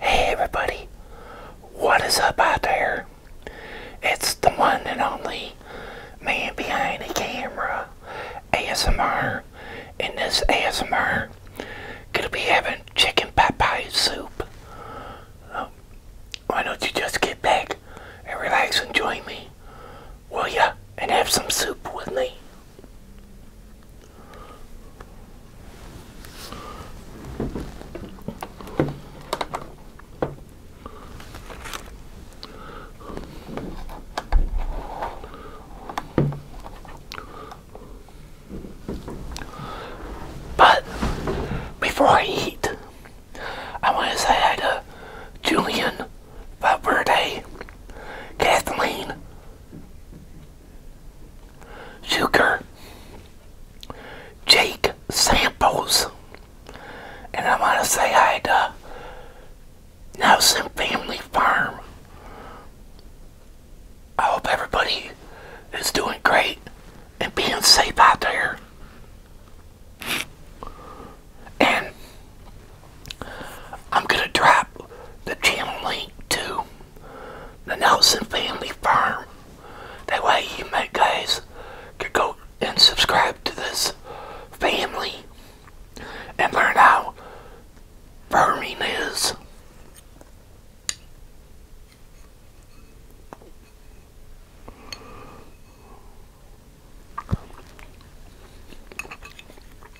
Hey everybody, what is up out there? It's the one and only man behind the camera, ASMR. and this ASMR, gonna be having chicken pot pie soup. Um, why don't you just get back and relax and join me, will ya? And have some soup with me. But before I eat, I want to say hi to Julian Valverde, Kathleen, Sugar, Jake Samples, and I want to say hi to Nelson Family Farm. I hope everybody is doing great and being safe out there. And I'm going to drop the channel link to the Nelson Family Farm. That way you might guys can go and subscribe to this family and learn how farming is.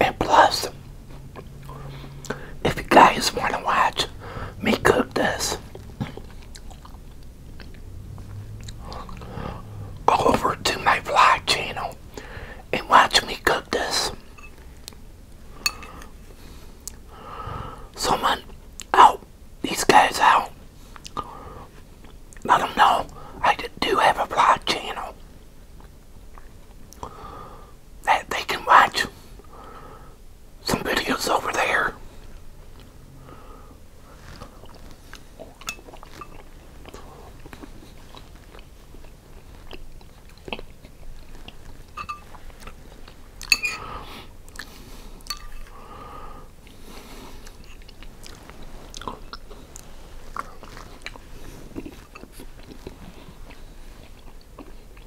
And plus, if you guys want to watch me cook this, go over to my vlog channel and watch me cook this. Someone out, these guys out. Let them know I do have a vlog channel that they can watch some videos over there.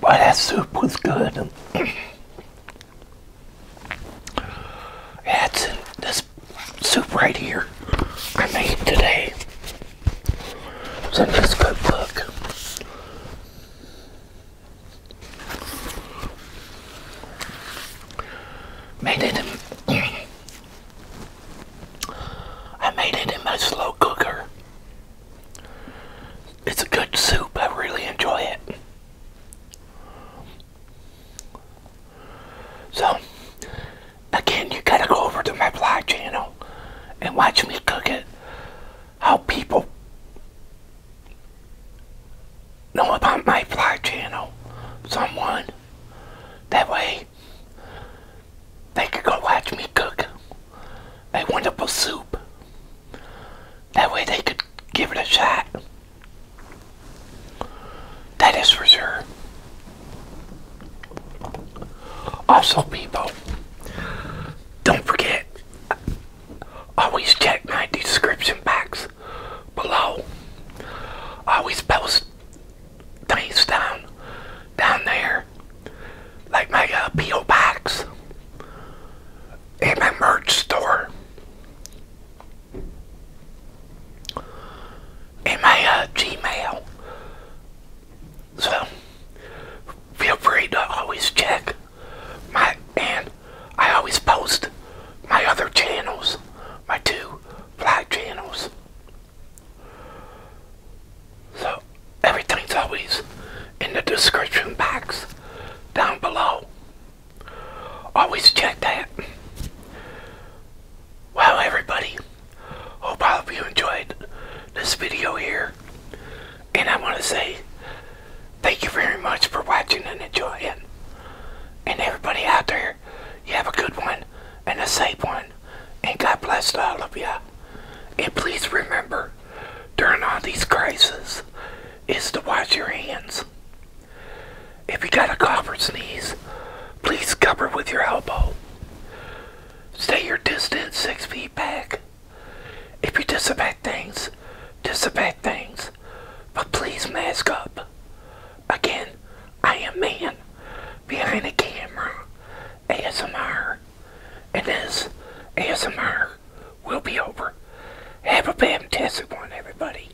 Well, that soup was good. That's this soup right here I made today. It's in good book. Made it I made it in my slow cooker. It's a good soup. I really enjoy it. So, again, you gotta go over to my vlog channel and watch me cook it. How people know about my vlog channel, someone. That way, they could go watch me cook a wonderful soup. That way, they could give it a shot. That is for sure. Also, people, don't forget, always check my description box below. always post things down, down there, like my P.O. box and my merch store in my uh, Gmail. So feel free to always check my and I always post my other channels, my two black channels. So everything's always in the description box down below. Always check that. Wow, everybody. Hope all of you enjoyed this video here. And I want to say thank you very much for watching and enjoying. And everybody out there, you have a good one and a safe one. And God bless all of you. And please remember, during all these crises, is to wash your hands. If you got a cough or sneeze, please cover with your elbow. Stay your distance six feet back. If you disinfect things, disinfect things. But please mask up. Again, I am man behind the camera, ASMR, and this ASMR will be over. Have a fantastic one, everybody.